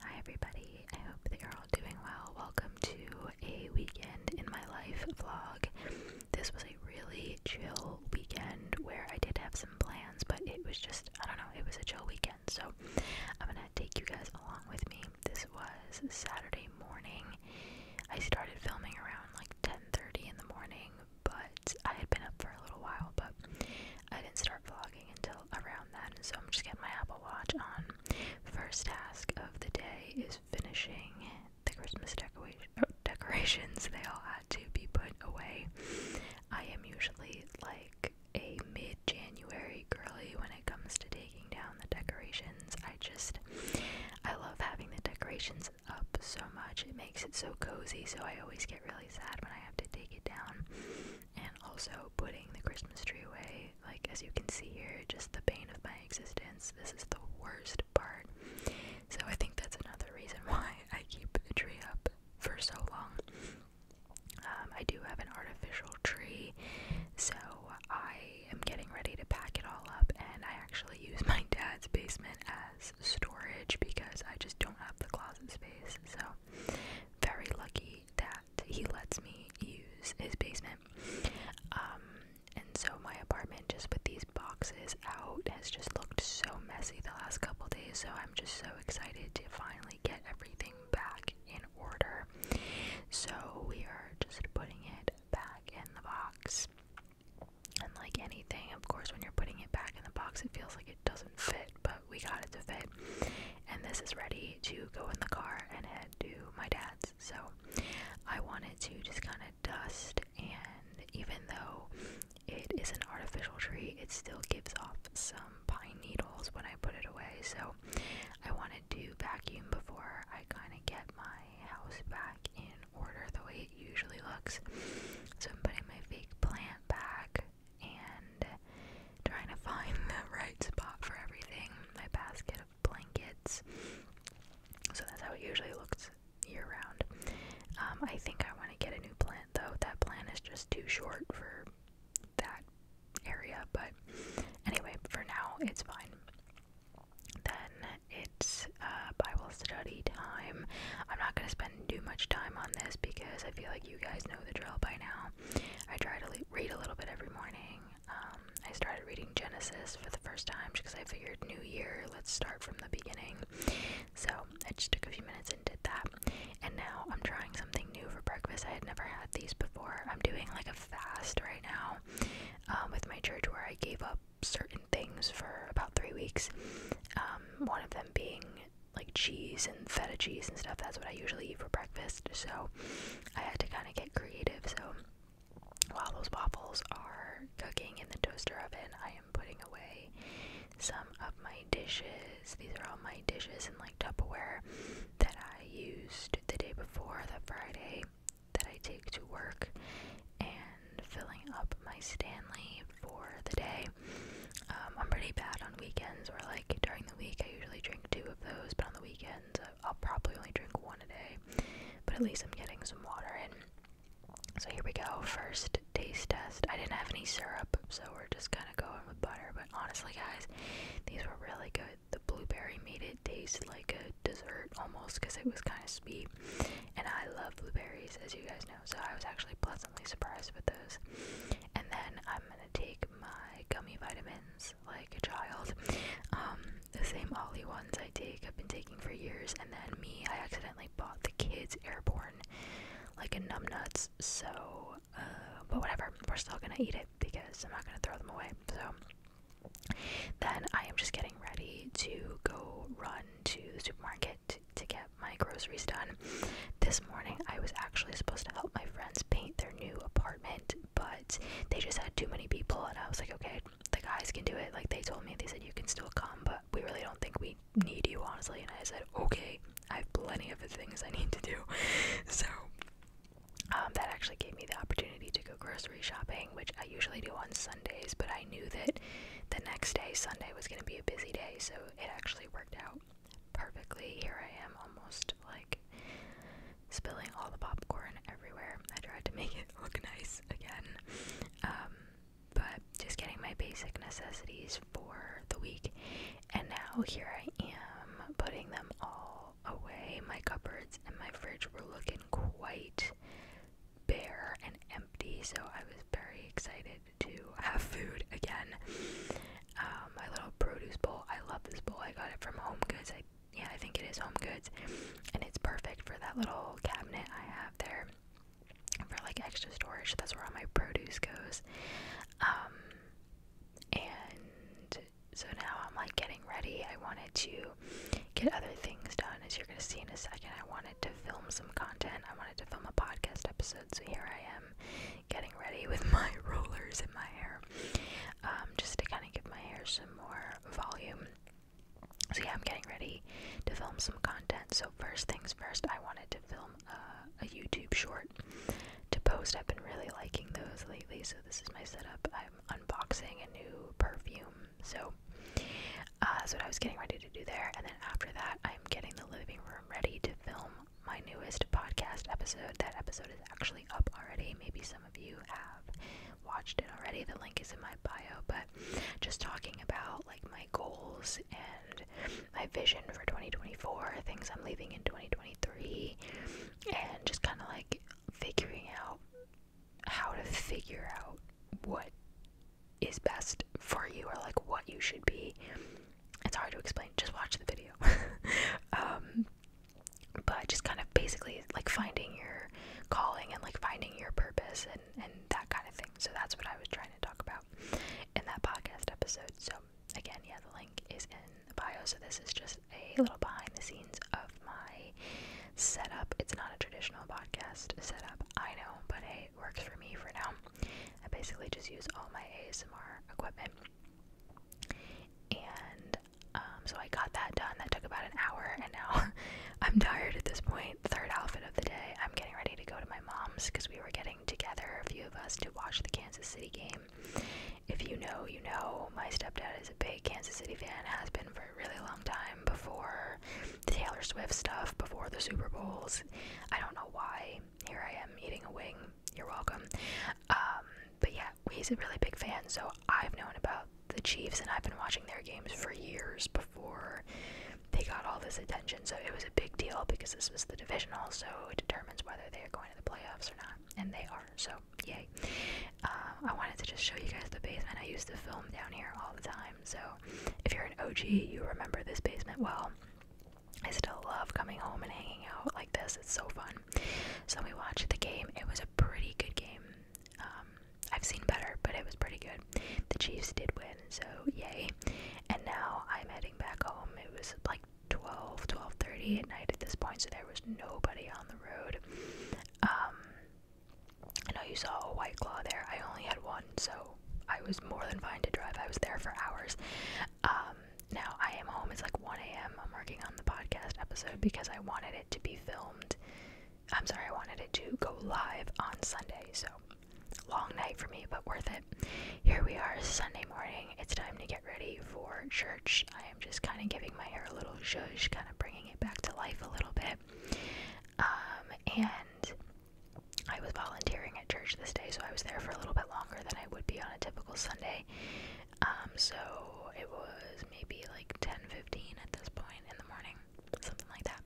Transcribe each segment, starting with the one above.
Hi, everybody. I hope you're all doing well. Welcome to a weekend in my life vlog. This was a really chill weekend where I did have some plans, but it was just, I don't know, it was a chill weekend. So I'm going to take you guys along with me. This was Saturday morning. I started filming around like 10:30 in the morning, but I had been up for a little while, but I didn't start vlogging until around then, so I'm just getting my Apple Watch on. First task of the day is finishing the Christmas decoration, uh, decorations. They all had to be put away. I am usually like a mid January girly when it comes to taking down the decorations. I just, I love having the decorations up so much. It makes it so cozy, so I always get really sad when I have to take it down and also putting the Christmas tree away. Like, as you can see here, just the pain of my existence. This is the worst part. So, I think that's another reason why I keep the tree up for so long. Um, I do have an artificial tree, so I am getting ready to pack it all up, and I actually use my dad's basement as storage because I just don't have the closet space. So, very lucky that he lets me use his basement. Um, and so my apartment, just with these boxes out, has just looked so messy the last couple days. So I'm just so excited to finally get everything back in order. So we are just putting it back in the box. And like anything, of course, when you're putting it back in the box, it feels like doesn't fit, but we got it to fit. And this is ready to go in the car and head to my dad's. So I wanted to just kind of dust, and even though it is an artificial tree, it still gives off some pine needles when I put it away. So I wanted to vacuum before I kind of get my house back in order the way it usually looks. So I'm putting my fake plant back and trying to find the right spot for everything. My basket of blankets. So that's how it usually looks year round. Um, I think I want to get a new plant though. That plant is just too short for that area, but anyway, for now it's fine. Then it's uh, Bible study time. I'm not going to spend do too much time on this because I feel like you guys know the drill by now. I try to read a little bit every morning. Um, I started reading Genesis for the first time because I figured New Year, let's start from the beginning. So I just took a few minutes and did that. And now I'm trying something new for breakfast. I had never had these before. I'm doing like a fast right now um, with my church where I gave up certain things for about three weeks. Um, one of them being like cheese and feta cheese and stuff. That's what I usually eat for breakfast. So I had to kind of get creative. So while those waffles are cooking in the toaster oven, I am putting away some of my dishes. These are all my dishes and like Tupperware that I used the day before, the Friday that I take to work, and filling up my Stanley for the day. Um, I'm pretty bad on weekends, or like during the week, I usually drink two of those, but on the weekends, uh, I'll probably only drink one a day. But at least I'm getting some water in. So here we go. First taste test. I didn't have any syrup, so we're just kind of going with butter. But honestly, guys, these were really good. The blueberry made it taste like a dessert almost because it was kind of sweet. And I love blueberries, as you guys know, so I was actually pleasantly surprised with those and then I'm gonna take my gummy vitamins like a child. Um, the same Ollie ones I take, I've been taking for years, and then me, I accidentally bought the kids airborne, like a numbnuts. So, uh, but whatever, we're still gonna eat it because I'm not gonna throw them away. So, then I am just getting ready to go run to the supermarket to get my groceries done. This morning, I was actually supposed to help my friends paint their new apartment, but they just had too many people, and I was like, okay, the guys can do it. Like, they told me, they said, you can still come, but we really don't think we need you, honestly. And I said, okay, I have plenty of things I need to do. So, um, that actually gave me the opportunity to go grocery shopping, which I usually do on Sundays, but I knew that the next day, Sunday, was going to be a busy day, so it actually worked out perfectly. Here I am almost like spilling all the popcorn everywhere. I tried to make it look nice again. Um, but just getting my basic necessities for the week. And now here I am putting them all away. My cupboards and my fridge were looking quite bare and empty, so I was very excited to have food again. Um, my little produce bowl. I love this bowl. I got it from Home Goods. I yeah, I think it is Home Goods, and it's perfect for that little cabinet I have there for like extra storage. That's where all my produce goes. Um, and so now I'm like getting ready. I wanted to get other things done, as you're gonna see in a second. I wanted to film some content. I wanted to film a podcast episode. So here I am getting ready with my rollers in my hair, um, just to kind of give my hair some more volume. So yeah, I'm getting ready to film some content. So first things first, I wanted to film uh, a, YouTube short to post. I've been really liking those lately, so this is my setup. I'm unboxing a new perfume. So uh, that's what I was getting ready to to do there. And then after that, I'm getting the living room ready to film my newest podcast episode. That episode is actually up already. Maybe some of you have watched it already. The link is in my bio, but just talking about like my goals and my vision for 2024, things I'm leaving in 2023, and just kind of like figuring out how to figure out what is best for you or like what you should be. It's hard to explain. Just watch the video. Um, but just kind of basically like finding your calling and like finding your purpose and, and that kind of thing. So that's what I was trying to talk about in that podcast episode. So again, yeah, the link is in the bio. So this is just a little behind the scenes of my setup. It's not a traditional podcast setup, I know, but hey, works for me for now. I basically just use all my ASMR equipment. And um, so I got that done. That took about an hour, and now I'm tired at this point. Third outfit of the day. I'm getting ready to go to my mom's because we were getting together, a few of us, to watch the Kansas City game. If you know, you know, my stepdad is a big Kansas City fan, has been for a really long time before the Taylor Swift stuff, before the Super Bowls. I don't know why here I am eating a wing. You're welcome. Um, but yeah, he's a really big fan, so I've known about the Chiefs and I've been watching their games for years before they got all this attention. So it was a big deal because this was the divisional, so it determines whether they are going to the playoffs or not, and they are. So yay! Uh, I wanted to just show you guys the basement. I used to film down here all the time, so if you're an OG, you remember this basement well. I still love coming home and hanging out like this. It's so fun. So we watched the game. It was a pretty good game. Um, I've seen better, but it was pretty good. The Chiefs did win, so yay. And now I'm heading back home. It was like 12, 12.30 at night at this point, so there was nobody on the road. Um, I know you saw a white claw there. I only had one, so I was more than fine to drive. I was there for hours. Um, now I am home. It's like 1 a.m. I'm working on the podcast episode because I wanted it to be filmed. I'm sorry, I wanted it to go live on Sunday. So long night for me, but worth it. Here we are, Sunday morning. It's time to get ready for church. I am just kind of giving my hair a little zhuzh, kind of bringing it back to life a little bit. Um, and I was volunteering at church this day, so I was there for a little bit longer than I would be on a typical Sunday. Um, so it was maybe like 10:15 at this point in the morning, something like that.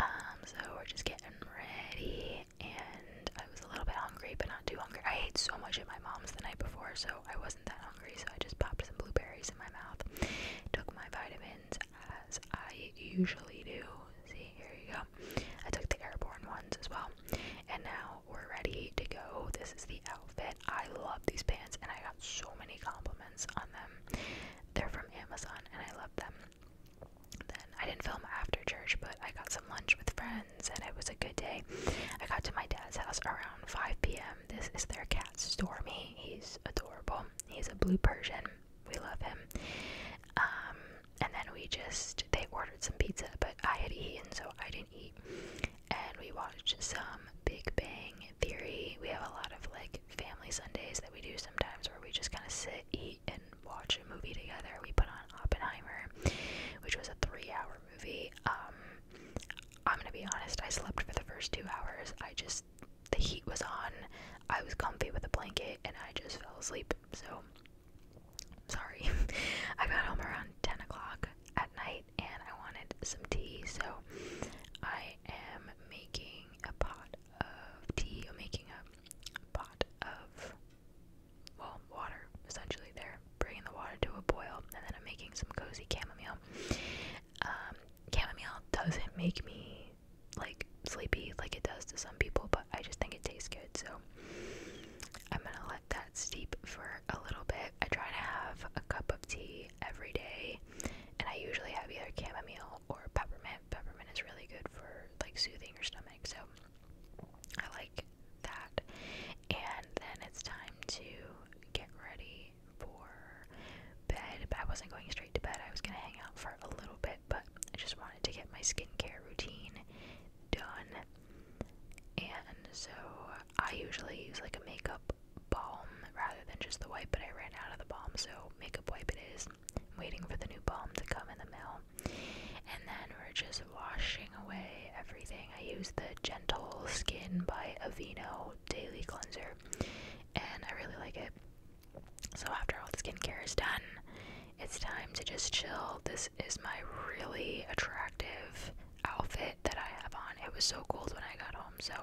Um, so we're just getting ready, and I was a little bit hungry, but not too hungry. I ate so much at my mom's the night before, so I wasn't that hungry. So I just popped some blueberries in my mouth, took my vitamins, as I usually do. See, here you go. I took the airborne ones as well. And now we're ready to go. This is the outfit. I love these pants and I got so many compliments on them. They're from Amazon and I love them. Then I didn't film after church, but I got some lunch with friends and it was a good day. I got to my dad's house around 5 p.m. This is their cat Stormy. He's adorable. He's a blue Persian we love him. Um, and then we just they ordered some pizza, but I had eaten, so I didn't eat. And we watched some Big Bang Theory. We have a lot of like family Sundays that we do sometimes where we just kind of sit, eat, and watch a movie together. We put on Oppenheimer, which was a three-hour movie. Um, I'm gonna be honest, I slept for the first two hours. I just the heat was on. I was comfy with a blanket and I just fell asleep. So, sorry. I got home around 10 o'clock at night and I wanted some tea. So, I am making a pot of tea. I'm making a pot of, well, water essentially. They're bringing the water to a boil and then I'm making some cozy chamomile. Um, chamomile doesn't make me like sleepy like it does to some people, but I just think it tastes good. So I'm gonna let that steep for a little bit. I try to have a cup of tea every day, and I usually have either chamomile or peppermint. Peppermint is really good for like soothing your stomach, so I like that. And then it's time to get ready for bed, but I wasn't going straight to bed. I was gonna hang out for a little bit, but I just wanted to get my skincare routine done. And so I usually use like a makeup balm rather than just the wipe, but I ran out of the balm, so makeup wipe it is. I'm waiting for the new balm to come in the mail. And then we're just washing away everything. I use the Gentle Skin by Aveeno Daily Cleanser, and I really like it. So after all the skincare is done, it's time to just chill. This is my really attractive outfit that I have on. It was so cold when I got home, so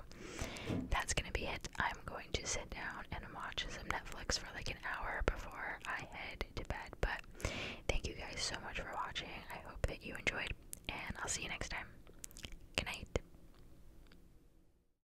that's gonna be it. I'm going to sit down and watch some Netflix for like an hour before I head to bed. But thank you guys so much for watching. I hope that you enjoyed, and I'll see you next time. Good night.